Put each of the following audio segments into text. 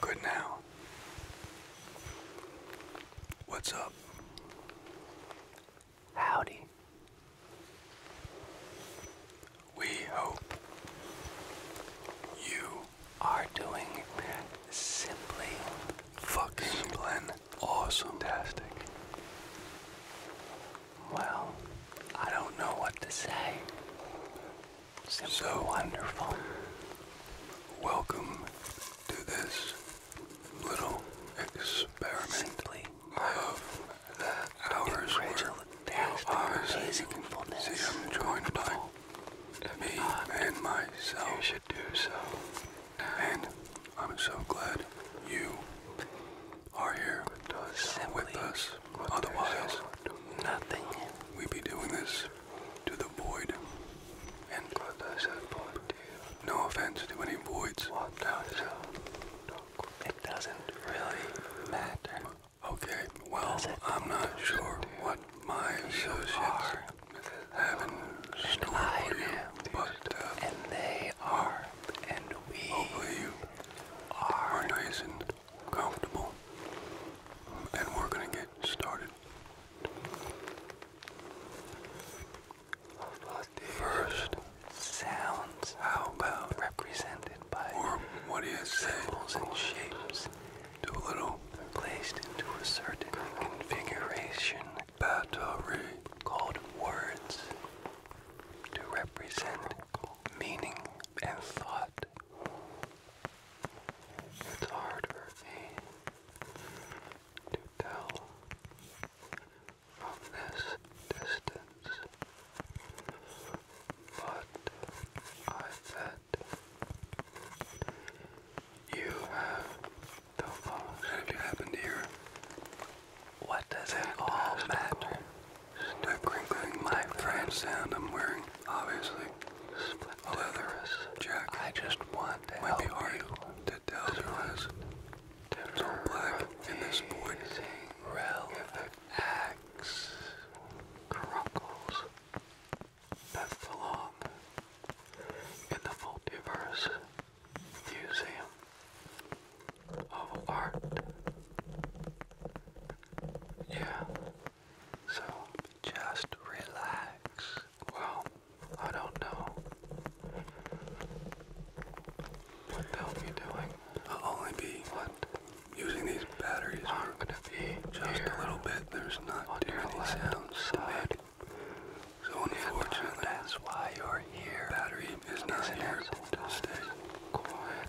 Good now. What's up? Howdy. We hope you are doing simply fucking awesome. Fantastic. Well, I don't know what to say. so wonderful. Welcome to this little experiment of the hours were See, I'm joined by me ah, and myself. You should do so. And I'm so glad you are here with us. Otherwise, nothing. We be doing this to the void. And no offense to any voids. It doesn't really matter. Okay, well, I'm not sure what my associates have in store but uh, and they are, and we are comfortable, and we're going to get started. First, sounds. How about represented by or what do you symbols and shapes? Do little placed into a certain configuration. Battery called words to represent meaning and thought. It's hard to tell from this distance, but I bet you have the most. What happened here? What does it all matter? Start crinkling my friend sound I'm wearing, obviously. A leather jacket. I just want to Might you. to tell from It's all black in this void. Relax. Crunkles. That's the In the multiverse. Museum of art. Yeah. So just relax. Well, I don't know. What the hell are doing? I'll only be what? using these batteries i gonna be just a little bit. There's not too many sounds side. So unfortunately, why you're here. Battery is not here to stay. Quiet.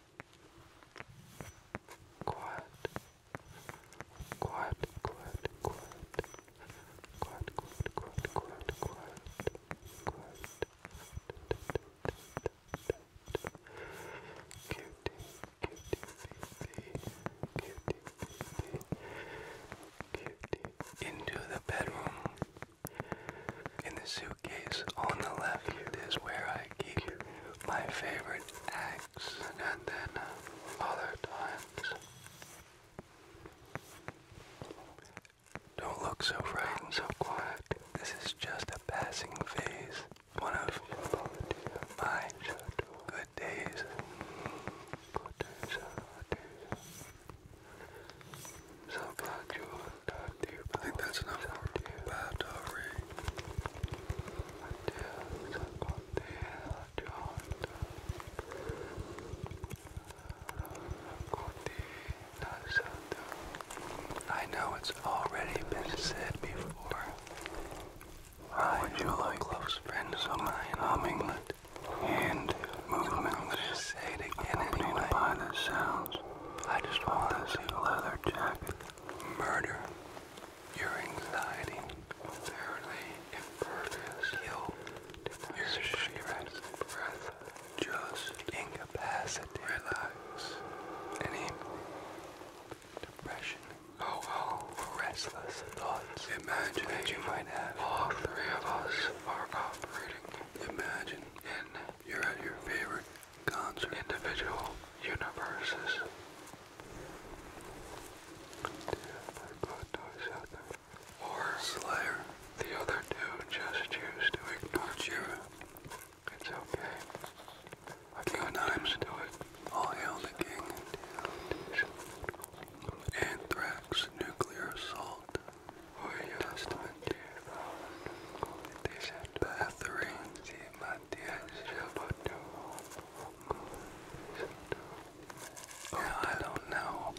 Quiet. Quiet, quiet, quiet. Quiet, quiet, quiet, quiet, quiet. Quiet. Cutie, cutie, Into the bedroom. In the suitcase on the left is where I keep my favorite acts and then uh, other times. Don't look so frightened, so quiet. This is just a passing phase. One of my good days. Uh, so glad you I think that's enough I know it's already been said before. I am a like close friend of mine, England, and movement. I'm going to say it again anyway. by the sounds. I just want this leather jacket. Murder. Your anxiety fairly impervious. Heal your breath. Just incapacity. Relax. Any depression. Oh Restless thoughts. Imagine you might have. All three of us are operating. Imagine. And you're at your favorite God's individual universes. Or Slayer. The other two just choose to ignore Jira. It's okay. I king Nimes do it. All hail the king. Anthrax nuclear assault. Testament. Bathory. I don't know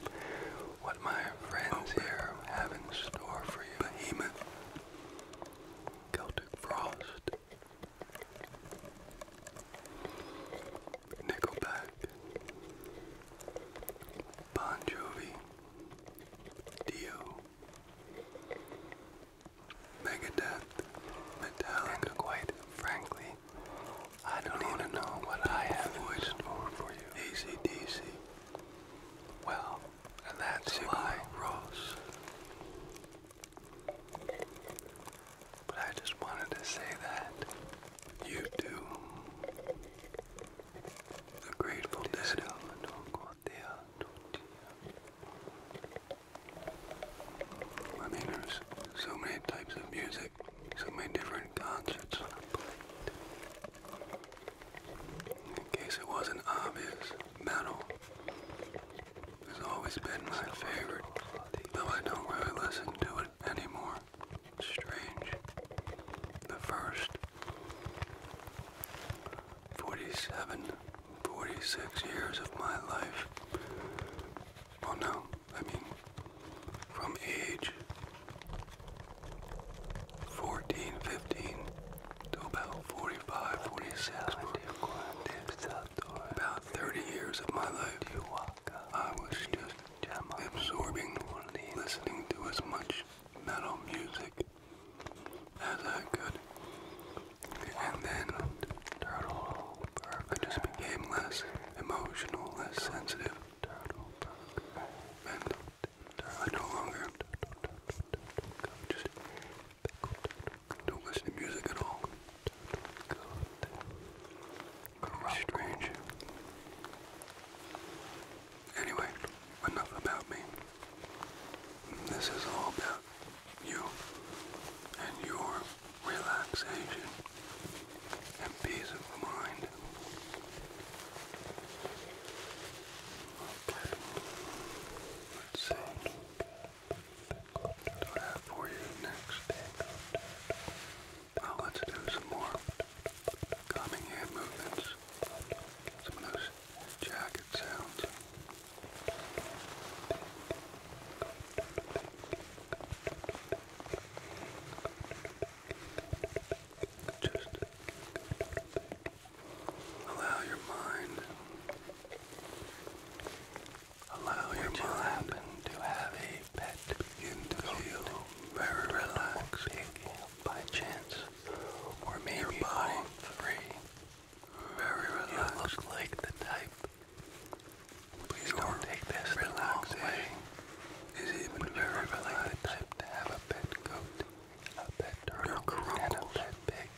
what my friends here have in store for you. Behemoth, Celtic Frost, Nickelback, Bon Jovi, Dio, Megadeth, Metallica. And quite frankly, I don't even know, what I have in for you. ACDC. Well, that's why Ross. But I just wanted to say that you do. The Grateful Dead dear, oh I mean, there's so many types of music, so many different concerts In case it wasn't obvious, metal has always been my favorite, though I don't really listen to it anymore. Strange. The first 47, 46 years of my life. Well, no, I mean, from age 14, to about 45, about 30 years of my life, I was just absorbing, listening to as much metal music as I could. And then turtle Burke just became less emotional, less sensitive. And no longer just don't listen to music at all. Strange. Anyway, enough about me. This is all about you and your relaxation and peace of mind. Okay. Let's see what I have for you next. Well, let's do some more calming hand movements. Some of those sounds. Just allow your mind. Allow your Would you happen to have a pet begin to feel very relaxed by chance, or maybe your body very relaxed. You look like the type. Please don't take this the wrong way. Is even very relaxed. type to have a pet goat, a pet turtle, and a pet pig.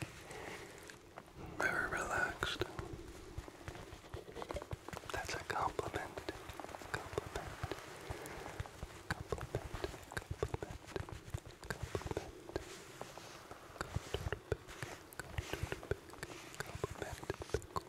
Very relaxed. That's a compliment. Compliment. Compliment. Compliment. Compliment. Good. Go back to the pickle. Good.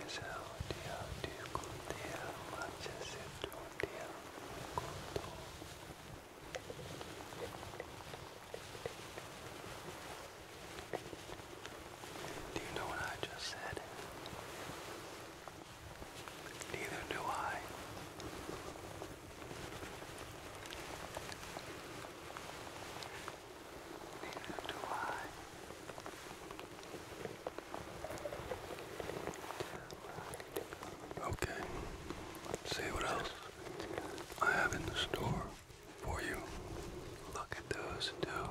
Desaudia Do you know what I just said? Neither do I. Neither do I. Okay, let what else I have in store for you. Look at those two.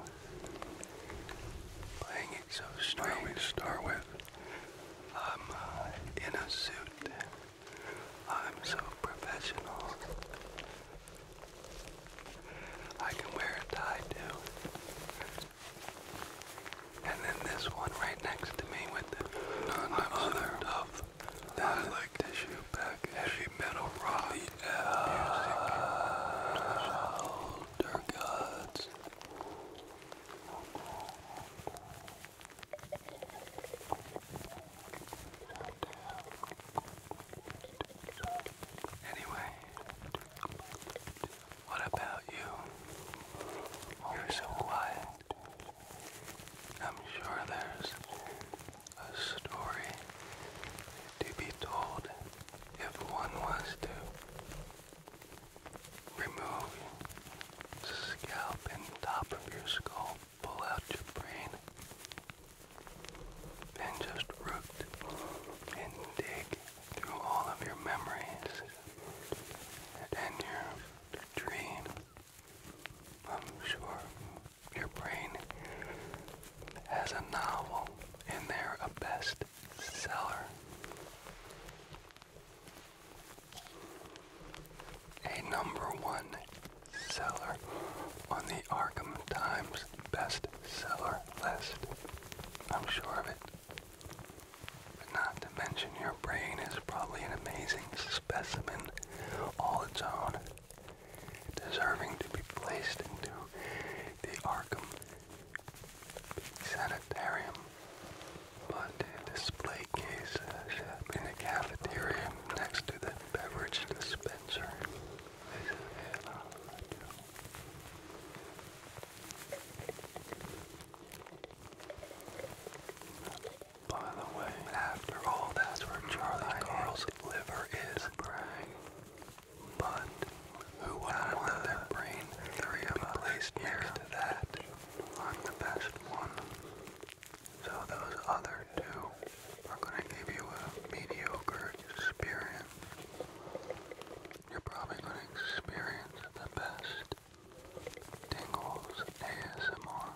Playing it so do we start with I'm uh, in a suit. I'm so professional. I can wear a tie too. And then this one right next to me with the other of that like tissue package. Heavy metal rock. The music. gods. Anyway, what about you? You're so quiet. I'm sure there's a story to be told if one was to. Remove the scalp and top of your skull. Pull out your brain. And just root and dig through all of your memories and your dream. I'm sure your brain has a novel in there, a bestseller a number one seller on the Arkham Times bestseller list. I'm sure of it. not to mention your brain is probably an amazing specimen all its own, deserving to be placed into the Arkham Sanitarium. Latte display cases uh, in the cafeteria next to the beverage dispenser. By the way, after all, that's where Charlie Carl's liver is. But who would want their brain to be placed next that? I'm the best one. So those other two are going to give you a mediocre experience. You're probably going to experience the best tingles ASMR.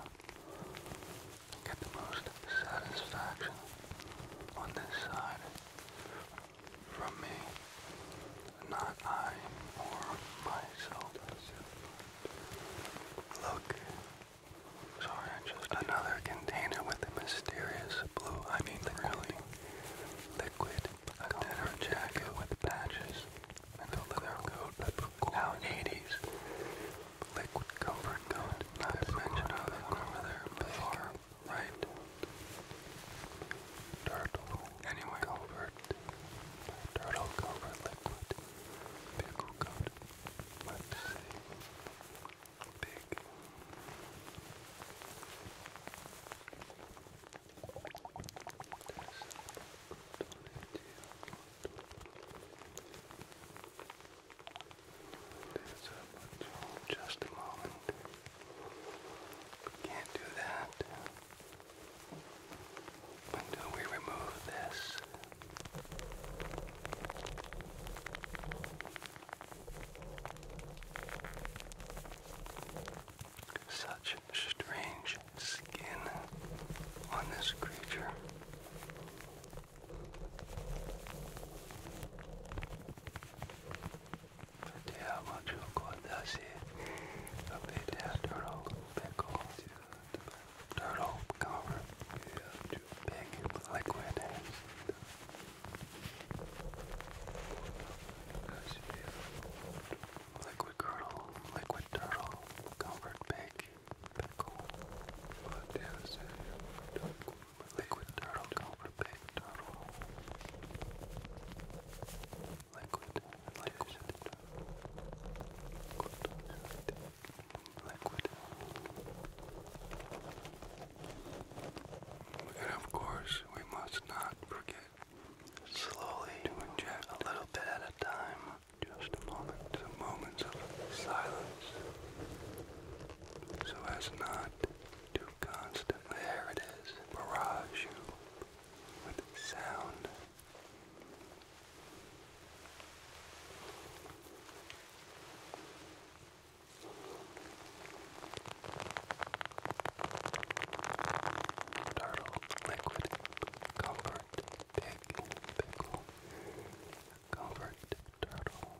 Get the most satisfaction on this side from me not I or myself. Look. Sorry, just another container with a mysterious blue. I mean, really liquid. A dinner jacket with patches and a leather coat. Now 80s. Liquid comfort coat. Not to mention how they right? Turtle. Anyway, dirt. Turtle cover liquid. Pickle coat. Let's see. Big. Just a moment. Can't do that. When do we remove this? Such strange skin on this creature. Хотя мочу куда си, а петя дорогу pickle to turtle cover to big liquid and liquid turtle, liquid turtle, comfort pig, pickle, liquid turtle, comfort pig, turtle liquid, liquid, liquid. And of course, we must not forget slowly to inject a little bit at a time. Just a moment, some moments of silence, so as not to constantly, there it is, barrage you with sound Turtle, liquid, comfort, pig, pickle, comfort, turtle,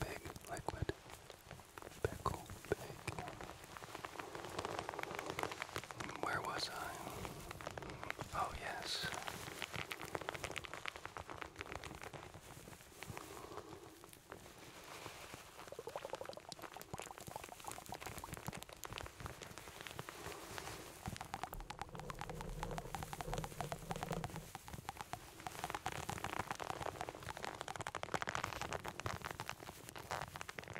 pig, liquid, pickle, pig, where was I? Oh, yes.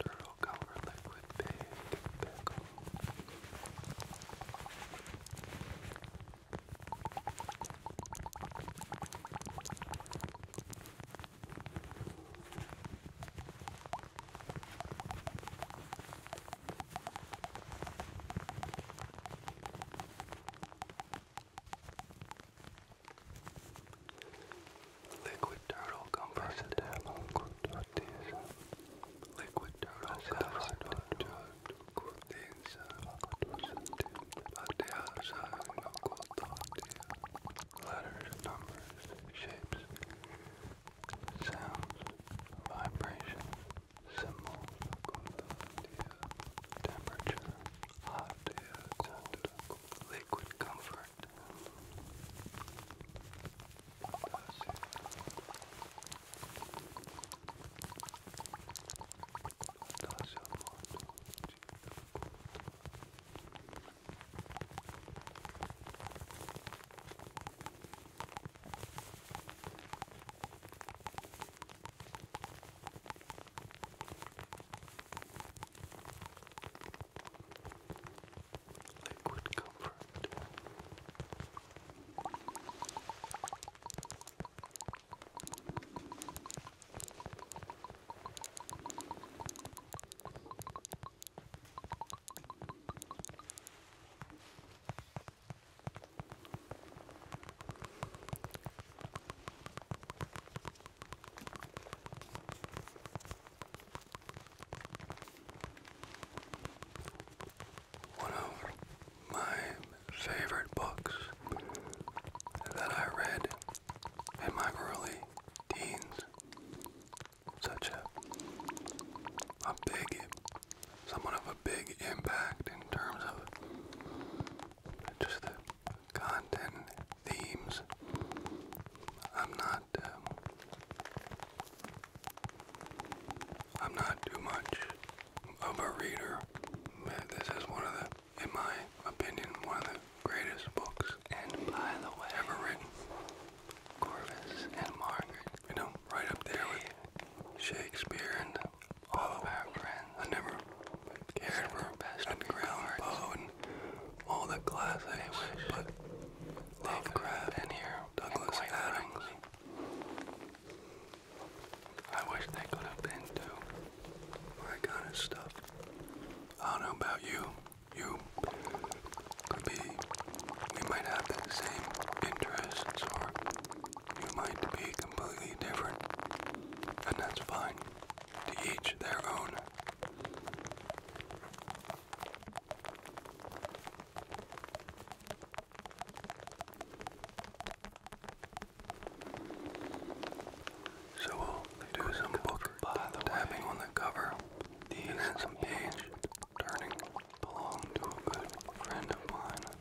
Turtle color liquid big pickle. Turtle Liquid turtle comforts a devil. Liquid turtle covers the good things but the outside no good thought Letters, numbers, shapes, sounds, vibrations, symbols, good temperature, hot, cold, liquid comfort. That's it. That's it. That's Liquid comfort. One of my favorite books that I read in my early teens. Such a, a big, somewhat of a big impact in terms of just content themes. I'm not. Um, I'm not too much of a reader. This is one of the, in my opinion, one of the greatest books ever written. Corvus and Margaret, you know, right up there with Shakespeare and all of our friends. I never cared for best and all the class anyway. But Lovecraft in here, Douglas Adams. Frankly, I wish they could have been to my kind of stuff. I don't know about you. You could be, we might have the same interests, or you might be completely different, and that's fine. To each their own. So we'll do some book tapping on the cover These and some page turning belong to a good friend of mine.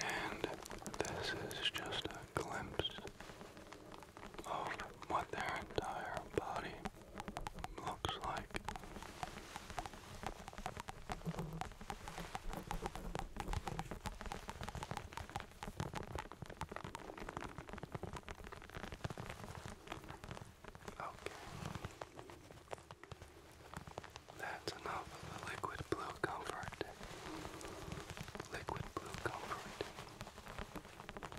And this is just a glimpse of what their entire body looks like. Okay. That's enough of the liquid blue comfort. Liquid blue comfort.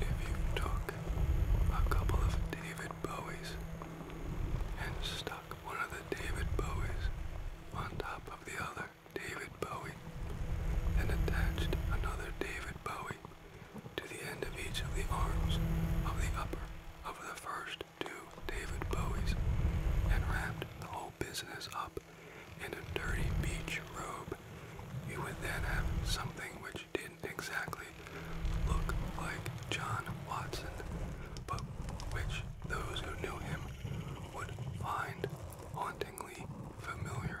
If you took a couple of David Bowies and stuck one of the David Bowies on top of the other David Bowie and attached another David Bowie to the end of each of the arms of the upper of the first to David Bowie's and wrapped the whole business up in a dirty beach robe. You would then have something which didn't exactly look like John Watson, but which those who knew him would find hauntingly familiar.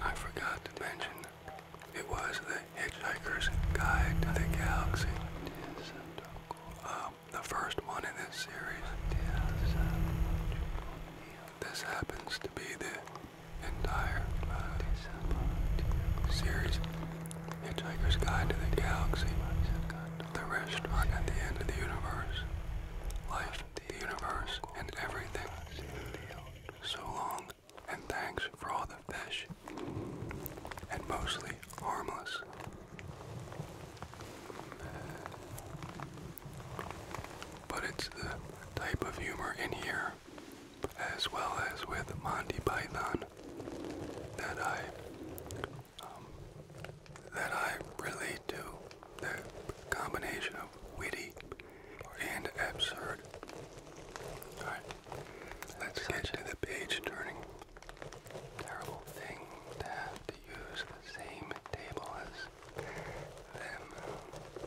I forgot to mention it was the Hitchhiker's Guide to the Galaxy. Um, the first one in this series. This happens to be the entire uh, series, Hitchhiker's Guide to the Galaxy, the restaurant at the end of the universe, life, the universe, and everything. So long, and thanks for all the fish, and mostly harmless. But it's the type of humor in here as well as with Monty Python that I um, that I relate to the combination of witty and absurd. All right, let's get to the page turning. Terrible thing to have to use the same table as them.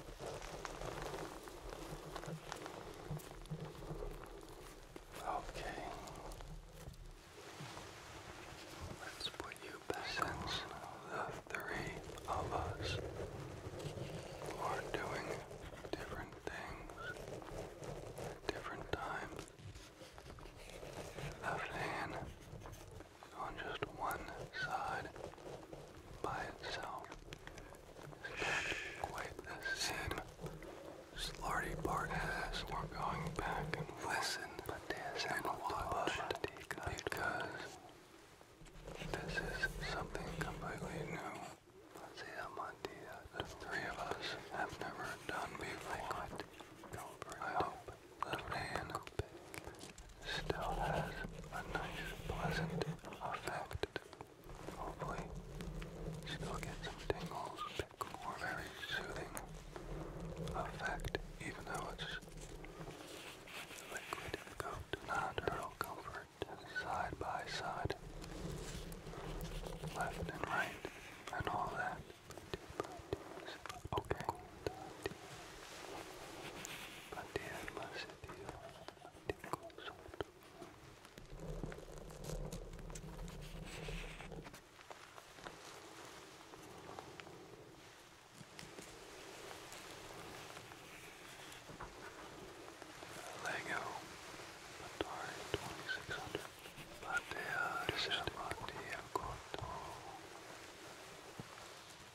Okay. Let's put you back the three of us are doing different things different times. Left hand on just one side by itself quite the same. Slarty part has. We're going back and listen and watch because this is something completely new. The three of us have never done before. I hope the man still has a nice, pleasant effect Hopefully, oh, she get some tingles or very soothing effect, even though it's liquid coat, non-turtle comfort, side by side, left and right, and all that. Okay. Lego Atari 2600 Platea, se Platea Koto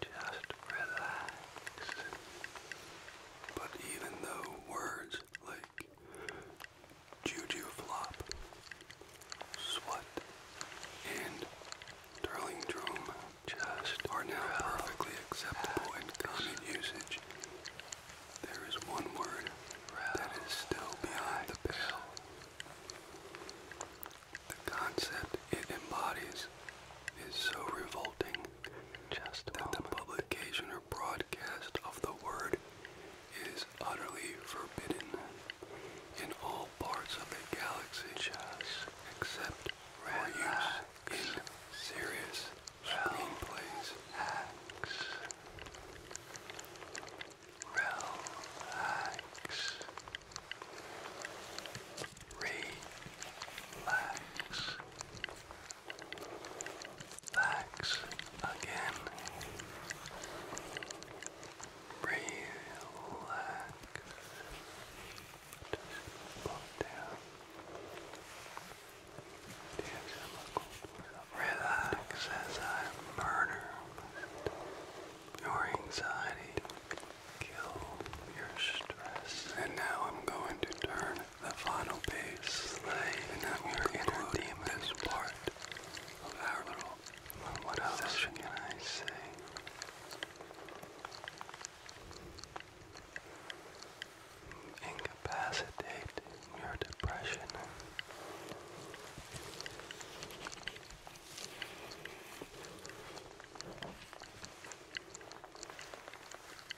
Just relax. But even though words like Juju Flop, Swat, and Darling Drome just are now perfectly acceptable in common usage. There is one word that is still beyond the pale. The concept it embodies is so revolting just the publication or broadcast of the word is utterly forbidden in all parts of the galaxy just except for in serious Relax. Relax. Relax. Relax again. Relax. Just calm down. Relax as I murder your anxiety, kill your stress. And now I'm going to turn the final piece. And now we are concluding this part of our little what else can I say? Incapacitate your depression.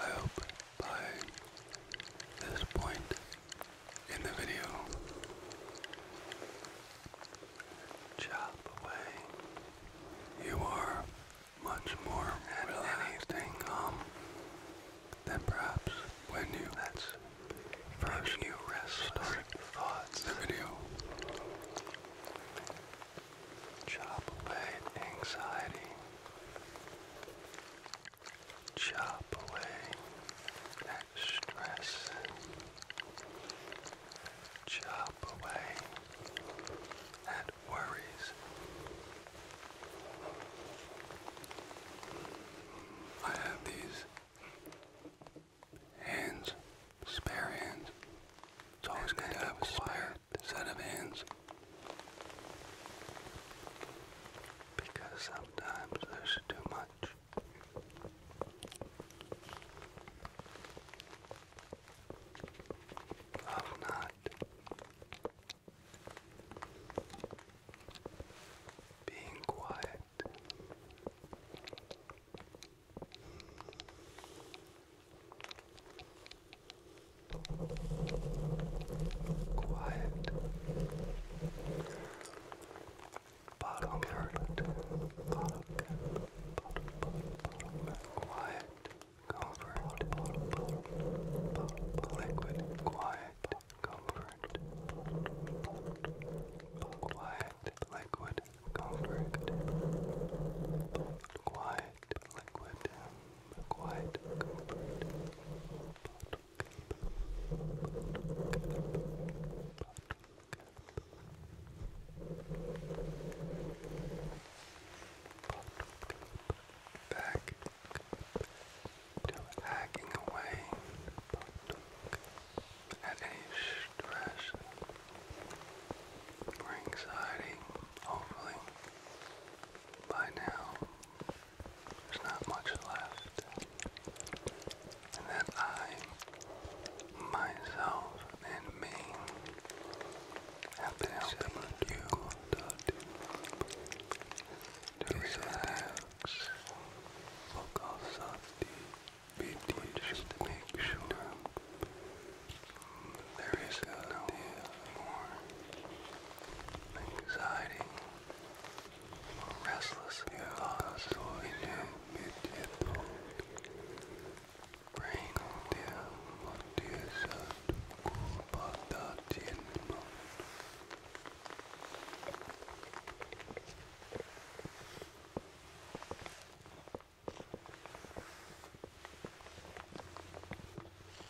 I hope by this point in the video, chop away, you are much more relaxed and than perhaps when you first you started the video. Chop away anxiety. Chop away at stress. Chop away at worries. I have these hands, spare hands. It's always good to have a spare set of hands. Because sometimes there's too much. Of not being quiet. Quiet. Bottom yard. Bottom, bottom, bottom, Quiet. Comfort. Bottom, bottom, bottom. Liquid. Quiet. Comfort. Quiet. Liquid. Comfort. Quiet. Liquid quiet hacking away at any stress or anxiety, hopefully. By now, there's not much left, and that I, myself, and me have been helping you to Focus on the video just make sure there is no deal more anxiety or restless thoughts in your mid-hip brain. Dear, what dear said about that in the Thank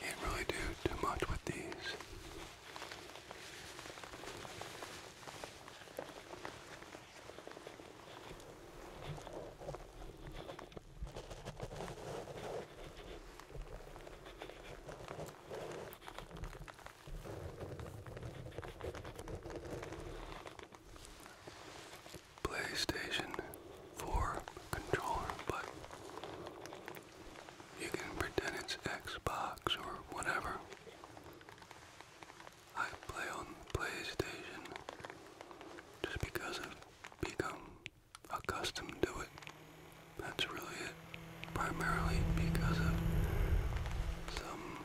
Can't really do too much with these. PlayStation 4 controller, but you can pretend it's Xbox or whatever. I play on PlayStation just because I've become accustomed to it. That's really it. Primarily because of some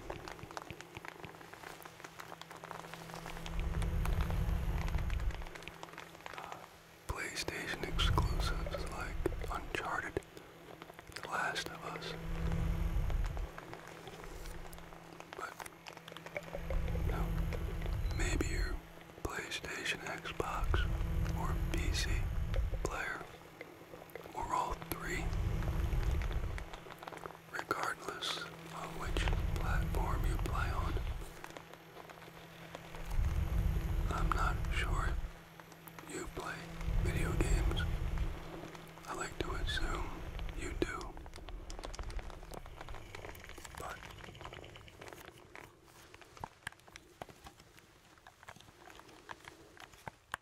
PlayStation exclusives like Uncharted, The Last of Us. But, you know, maybe your PlayStation, Xbox, or PC player, or all three regardless of which platform you play on. I'm not sure you play video games. I like to assume you do. But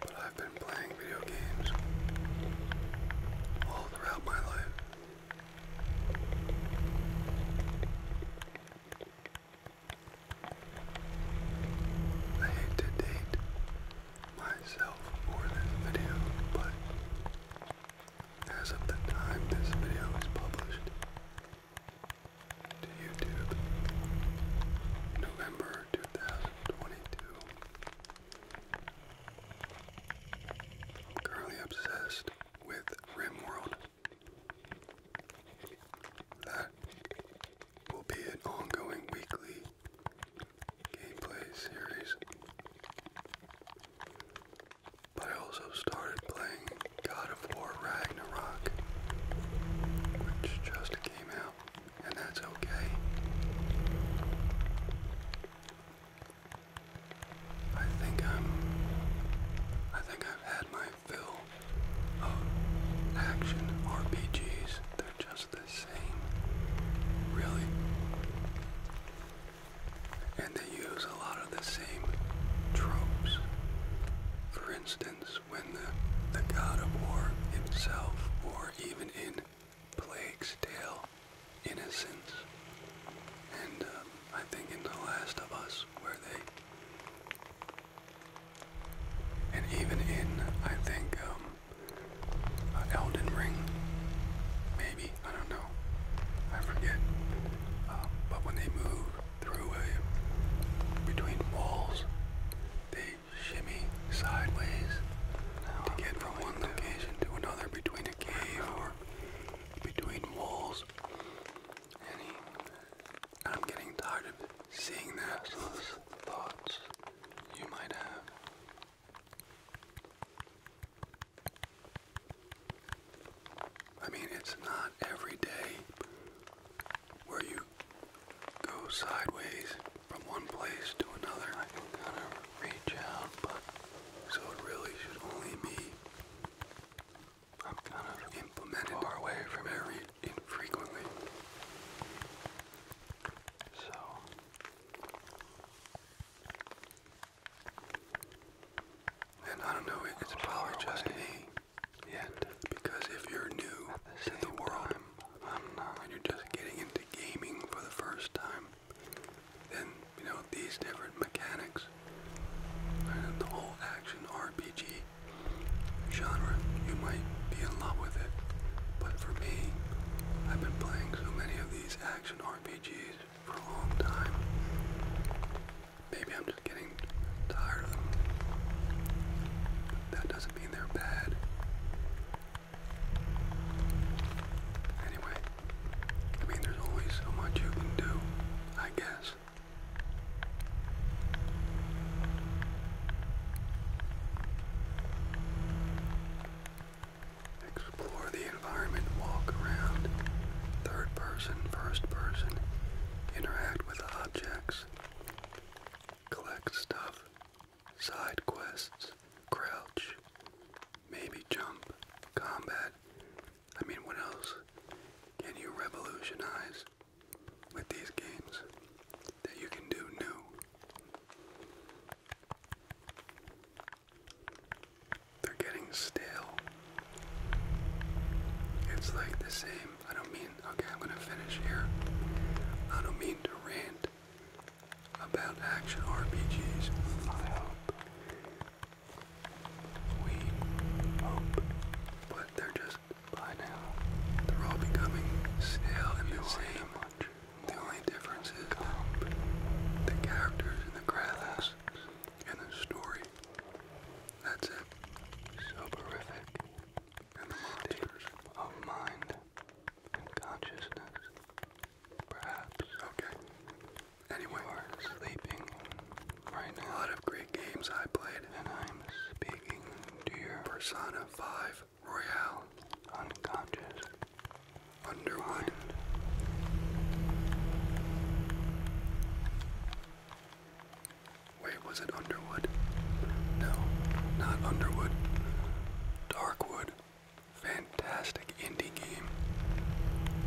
But I've been playing video games all throughout my life. I hate to date myself for this video, but as of the time this video is published to YouTube, November 2022, currently obsessed with RimWorld. That will be an ongoing weekly gameplay series. But I also started playing God of War Ragnarok, which just came out, and that's okay. I think I'm I think I've had my fill of action RPGs. They're just the same. Really. And they use a lot of the same tropes. For instance, when the, the god of war himself, or even in Plague's Tale, Innocence, and uh, I think in The Last of Us, where they, and even in, I think, um, uh, Elden Ring, maybe I don't know. I forget. Um, but when they move through between walls, they shimmy sideways to get from one location to another between a cave or between walls. And I'm getting tired of seeing that. Thoughts you might have. I mean, it's not every day where you go sideways from one place to another. I can kind of reach out, but so it really should only be. I'm kind of implemented far away from every infrequently. So and I don't know, it's probably just me yet. Because if you're new to the world you're just getting into gaming for the first time, then, you know, these different mechanics and the whole action RPG genre, you might be in love with it. But for me, I've been playing so many of these action RPGs for a long time. Maybe I'm just getting tired of them. that doesn't mean they're bad. Anyway, I mean, there's always so much you can do, I guess. Explore the environment, walk around, third person, first person, interact with objects, collect stuff, side quests, crouch, maybe jump, combat. I mean, what else can you revolutionize with these games that you can do new? They're getting stale. It's like the same. I don't mean, okay, I'm going to finish here. I don't mean to rant about action RPGs. I hope. We hope. But they're just, by now, they're all becoming stale and the same. The only difference is the, the characters and the graphics and the story. That's it. So horrific. And the monsters of mind consciousness. Perhaps. Okay. Anyway, you are sleeping right A lot of great games I played. And I'm speaking to your Persona 5 Royale unconscious Underwood. Wait, was it Underwood? No, not Underwood. Darkwood. Fantastic indie game.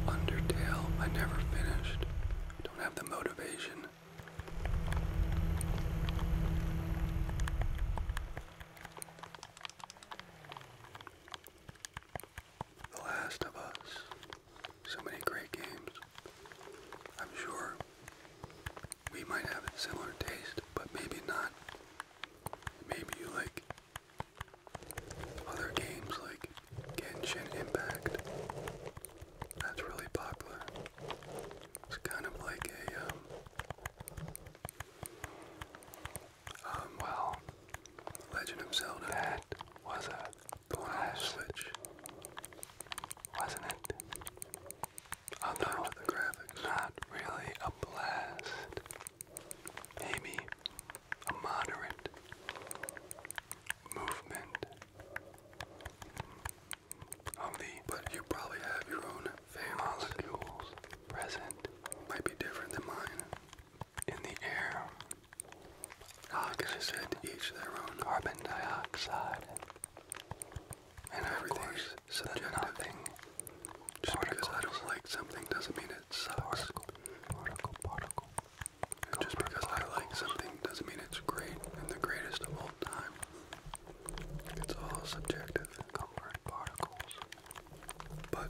Undertale, I never finished. Don't have the motivation. The Last of Us. So many great games. I'm sure we might have a similar taste, but maybe not. Maybe you like other games like Genshin Impact. That's really popular. It's kind of like a um, um, well, Legend of Zelda. That was a blast. Switch. Wasn't it? Although, the graphics. not really a blast. Maybe a moderate movement of the. But you probably have your own molecules present. Might be different than mine. In the air like I said, each their own carbon dioxide and everything's a Nothing. Just because I don't like something doesn't mean it sucks. Particle, particle, particle. Just because I like something doesn't mean it's great and the greatest of all time. It's all subjective. Comfort particles. But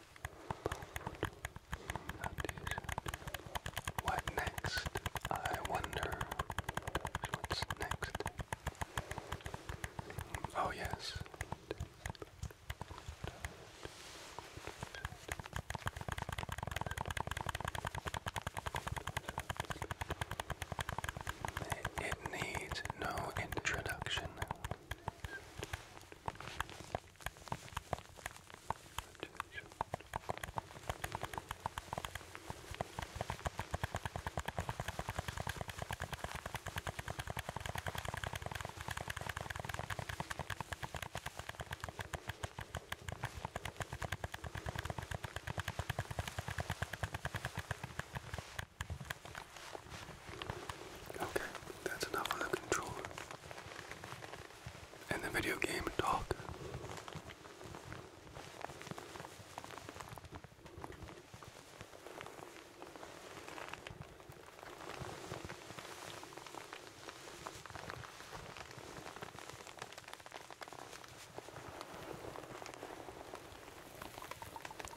What next? I wonder Oh, yes. It needs no introduction attention. Good. Okay, that's enough of the controller and the video game talk.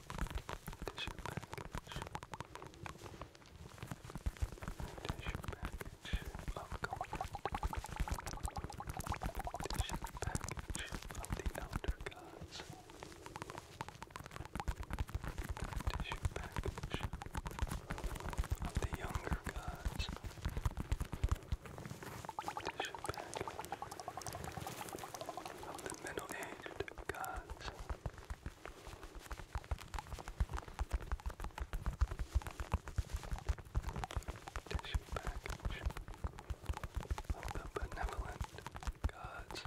Tissue package. Tissue package of comfort. Tissue package of the elder gods. Tissue package of the younger gods. Tissue package of the middle-aged gods. Tissue package of the Tissue package of the benevolent gods.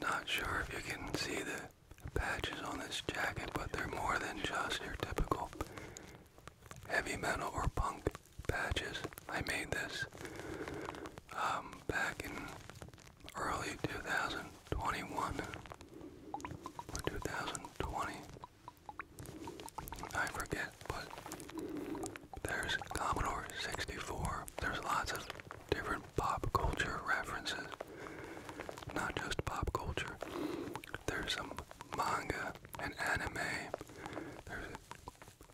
Not sure if you can see the patches on this jacket, but they're more than just your typical heavy metal or punk patches. I made this um, back in early 2021 or 2020. I forget, but there's Commodore 64. There's lots of different pop culture references. Not just pop culture. There's some manga and anime. There's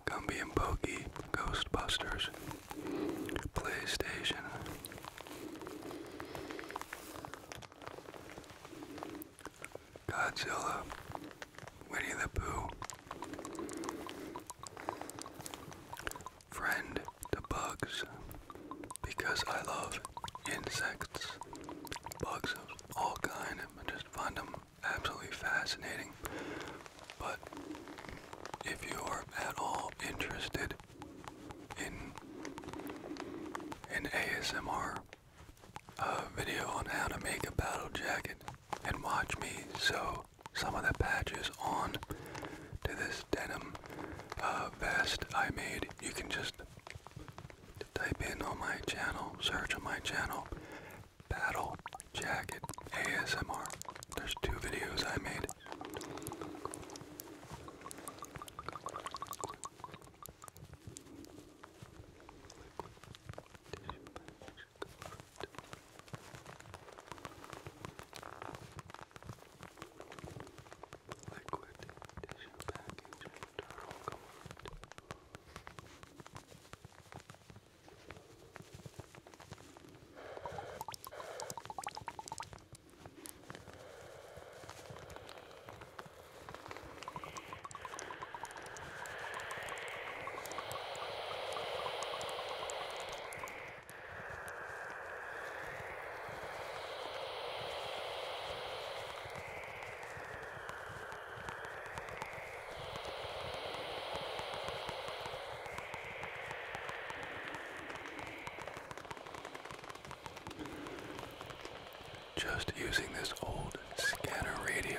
Gumby and Pokey, Ghostbusters, PlayStation. Godzilla, Winnie the Pooh, friend to bugs because I love insects, bugs of all kind. I just find them absolutely fascinating. But if you are at all interested in an ASMR a video on how to make a battle jacket and watch me sew some of the patches on to this denim uh, vest I made. You can just type in on my channel, search on my channel, battle jacket ASMR. There's two videos I made. Liquid tissue package internal comfort. Just using this old Scanner radio.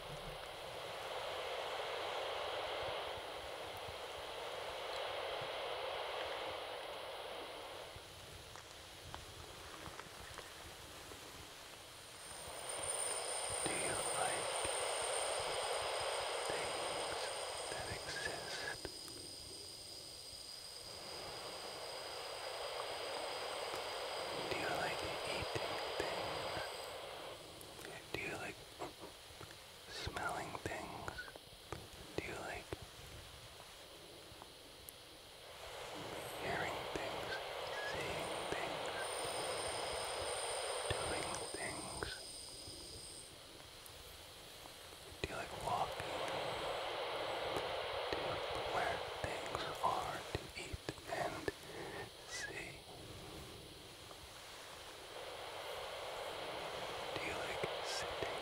Do you like things that exist? Do you like eating things? Do you like smelling things do you like? Hearing things, seeing things, doing things. Do you like walking? Do you like things are to eat and see? Do you like sitting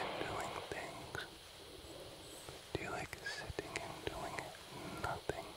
and doing things? Do you like sitting and doing nothing? Do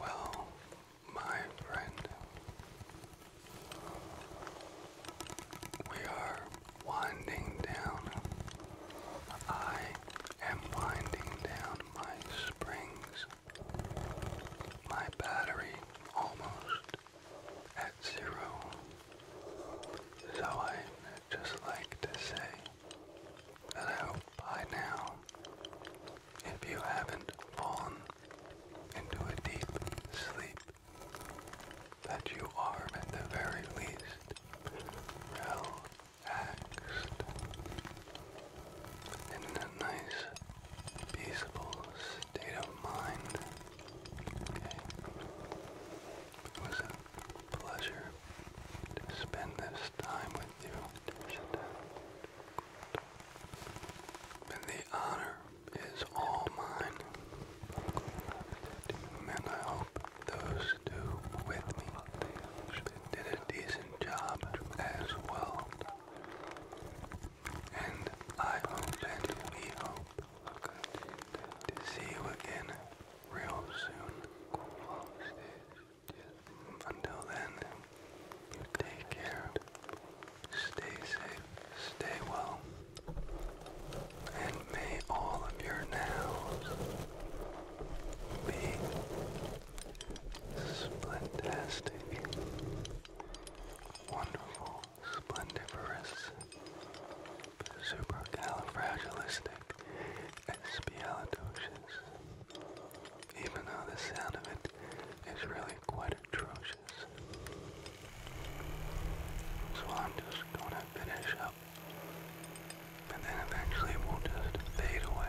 Well, my friend, we are winding down. I am winding down my springs. My battery almost at zero. So I just like to say that I hope by now, if you haven't fallen into a deep sleep, that you are at the very least relaxed in a nice peaceful state of mind. was a pleasure to spend this time with you. And the honor is all mine and I hope those two with me did a decent job as well. And I hope and we hope to see you again real soon. Until then, take care, stay safe, stay well. And may all of your nails be splentastic, wonderful, splendiferous, supercalifragilistic, espialidocious. Even though the sound of it is really quite atrocious. So I'm just gonna finish up and then eventually it will just fade away.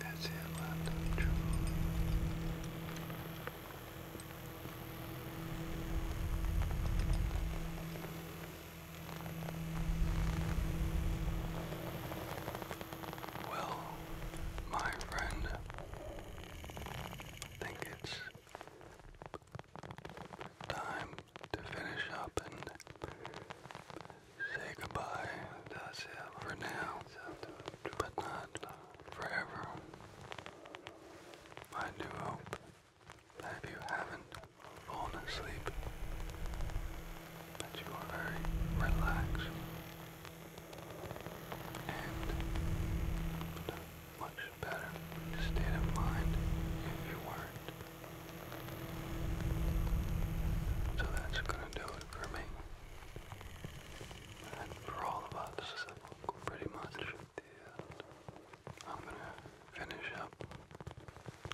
That's it, Well, my friend, I think it's time to finish up and say goodbye. That's it for now, but not uh, forever. I do hope that you haven't fallen asleep, that you are very relaxed and a much better state of mind if you weren't. So that's gonna do it for me for all of us, pretty much I'm gonna finish up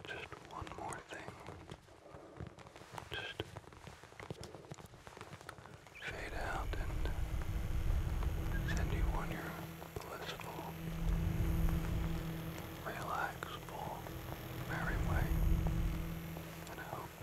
just one more thing. Just fade out and send you on your blissful, relaxable, merry way. And I hope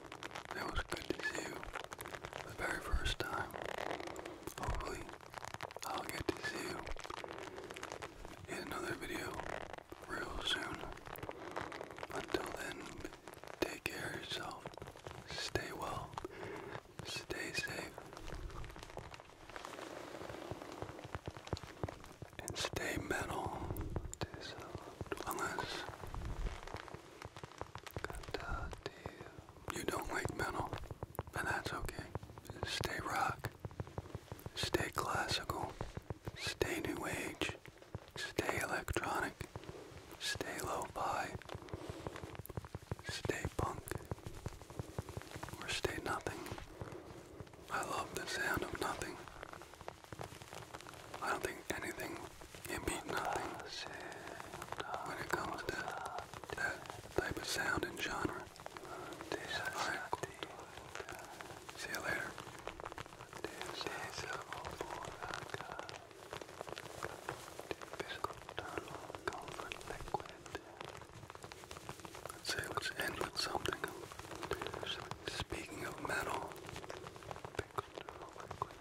It was good to see you the very first time. Hopefully, I'll get to see you in another video real soon. Until then, take care of yourself. Stay well. Stay safe. And stay metal. Unless you, don't like metal, and that's okay. Stay rock, stay classical, stay new age, stay electronic, stay lo-fi, stay punk, or stay nothing. I love the sound of nothing. I don't think anything it means nothing when it comes to that type of sound and genre. see you later. Let's say let's end with something. Speaking of metal.